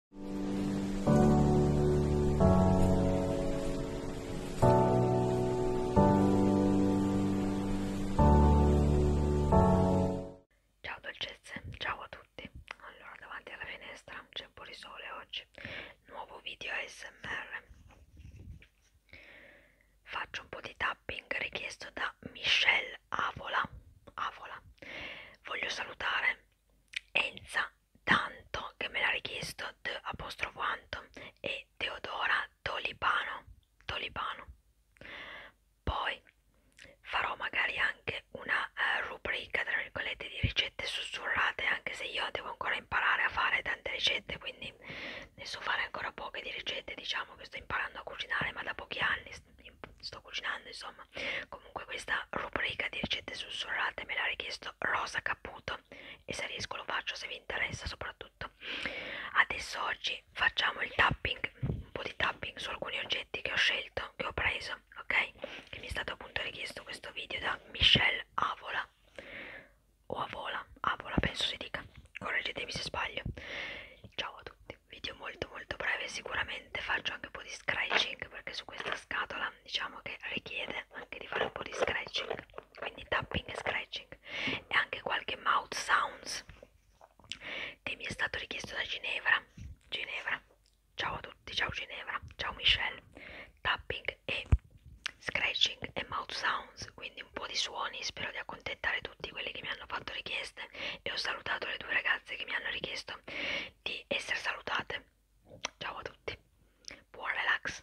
Ciao dolcezze, ciao a tutti. Allora, davanti alla finestra c'è un po' di sole oggi. Nuovo video ASMR. Faccio un po' di tapping richiesto da Michelle Avola. Avola. Voglio salutare Enza Tanto che me l'ha richiesto De apostrofo Anto e Teodora Tolipano Tolipano poi farò magari anche una eh, rubrica tra virgolette di ricette sussurrate anche se io devo ancora imparare a fare tante ricette quindi ne so fare ancora poche di ricette diciamo che sto imparando a cucinare ma da pochi anni sto cucinando insomma comunque questa rubrica di ricette sussurrate me l'ha richiesto Rosa Caputo e se riesco lo faccio se vi interessa soprattutto adesso oggi facciamo il tapping un po' di tapping su alcuni oggetti che ho scelto che ho preso ok che mi è stato appunto richiesto questo video da Michelle Avola o Avola Avola penso si dica correggetemi se sbaglio ciao a tutti video molto molto breve sicuramente faccio anche un po' di scratching perché su questa scatola diciamo che richiede anche di fare un po' di scratching quindi tapping e scratching e anche qualche mouth sounds che mi è stato richiesto da Ginevra Ginevra ciao a tutti ciao Ginevra ciao Michelle tapping e scratching e mouth sounds quindi un po' di suoni spero di accontentare tutti quelli che mi hanno fatto richieste e ho salutato le due ragazze ragazze che mi hanno richiesto di essere salutate. Ciao a tutti, buon relax.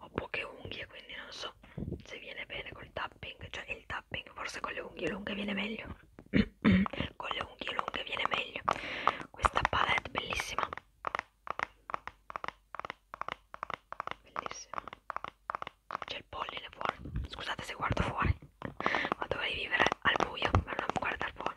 ho poche unghie quindi non so se viene bene col tapping cioè il tapping forse con le unghie lunghe viene meglio con le unghie lunghe viene meglio questa palette bellissima bellissima c'è il polline fuori scusate se guardo fuori ma dovrei vivere al buio per non guardare fuori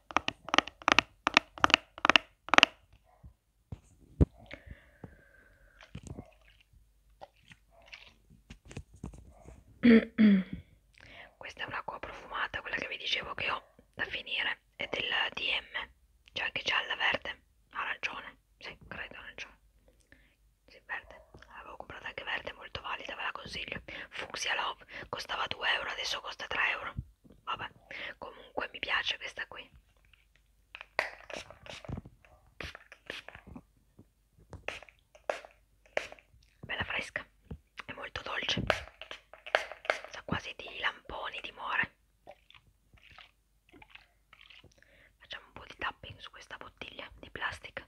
Questa è un'acqua profumata, quella che vi dicevo che ho da finire, è del DM, c'è anche gialla verde, arancione, sì, credo arancione, sì, verde, l'avevo comprata anche verde, molto valida, ve la consiglio, Fuxia Love, costava 2 euro, adesso costa 3 euro. Vabbè, comunque mi piace questa qui. Bella fresca, è molto dolce. Sa quasi di lamponi di more. Facciamo un po' di tapping su questa bottiglia di plastica.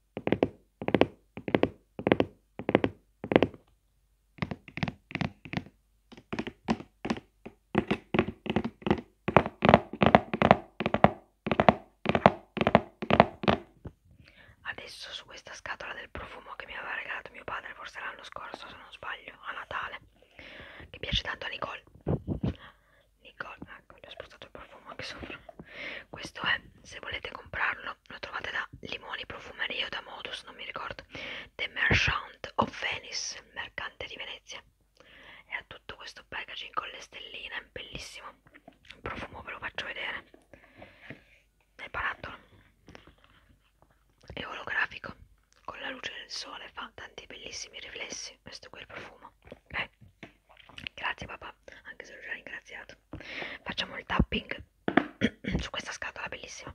Adesso su questa scatola del profumo che mi aveva regalato mio padre forse l'anno scorso se non sbaglio a Natale che piace tanto a Nicole Nicole, ecco, gli ho spruzzato il profumo anche sopra. Questo è, se volete comprarlo, lo trovate da Limoni Profumerie o da Modus, non mi ricordo. The Merchant of Venice, il mercante di Venezia. E ha tutto questo packaging con le stelline, è bellissimo. Il profumo ve lo faccio vedere. Nel barattolo. È olografico, con la luce del sole fa tanti bellissimi riflessi. Questo qui è il profumo. Okay. Eh. Grazie papà, anche se l'ho già ringraziato. Facciamo il tapping su questa scatola bellissima.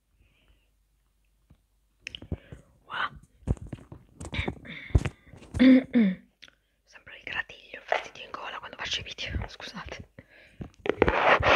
Wow. Sembra il gratiglio, freddo in gola quando faccio i video, scusate.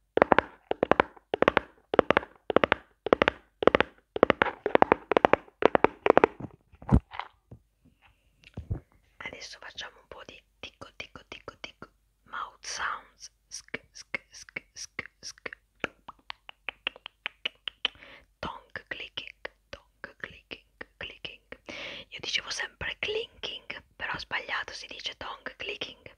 Adesso facciamo un po' di ticco ticco ticco ticco mouth sounds sk sk sk sk sk tongue clicking tongue clicking clicking io dicevo sempre clinking però ho sbagliato si dice tongue clicking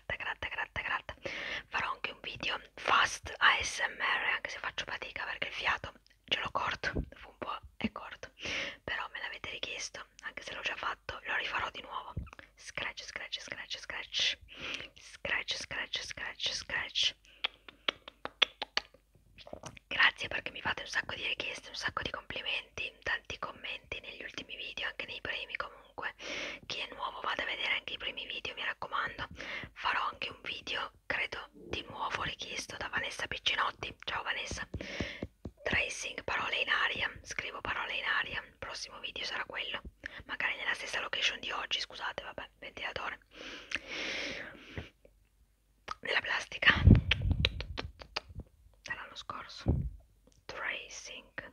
gratta, gratta, gratta, gratta. Farò anche un video fast ASMR, anche se faccio fatica perché il fiato ce l'ho corto, fu un po' è corto. Però me l'avete richiesto, anche se l'ho già fatto, lo rifarò di nuovo. Scratch, scratch, scratch, scratch. Scratch, scratch, scratch, scratch. Grazie perché mi fate un sacco di richieste, un sacco di complimenti, tanti commenti negli ultimi video, anche nei primi comunque comunque chi è nuovo vada a vedere anche i primi video mi raccomando farò anche un video credo di nuovo richiesto da Vanessa Piccinotti ciao Vanessa tracing parole in aria scrivo parole in aria il prossimo video sarà quello magari nella stessa location di oggi scusate vabbè ventilatore nella plastica dall'anno scorso tracing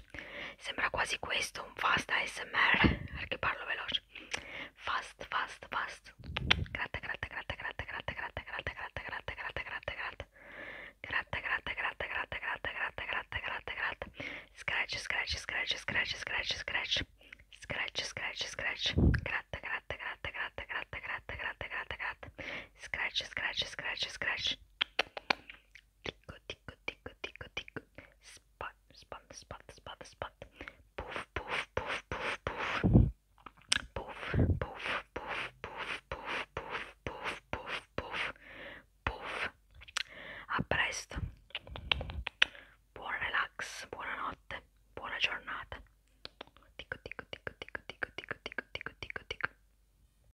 veloce. Sembra quasi questo un fast ASMR perché parlo veloce. Fast, fast, fast. Gratta, gratta, gratta, gratta, gratta, gratta, gratta, gratta, gratta, gratta, gratta, gratta. Gratta, gratta, gratta, gratta, gratta, gratta, gratta, gratta, gratta. Scratch, scratch, scratch, scratch, scratch, scratch. Scratch, scratch, scratch. Gratta, gratta, gratta, gratta, gratta, gratta, gratta, gratta, gratta. Scratch, scratch, scratch, scratch. tico tico tico tico tico spot spot spot spot spot poof poof poof poof poof poof poof poof poof poof poof poof poof poof poof a presto buon relax buonanotte buona giornata tico tico tico tico tico tico tico tico tico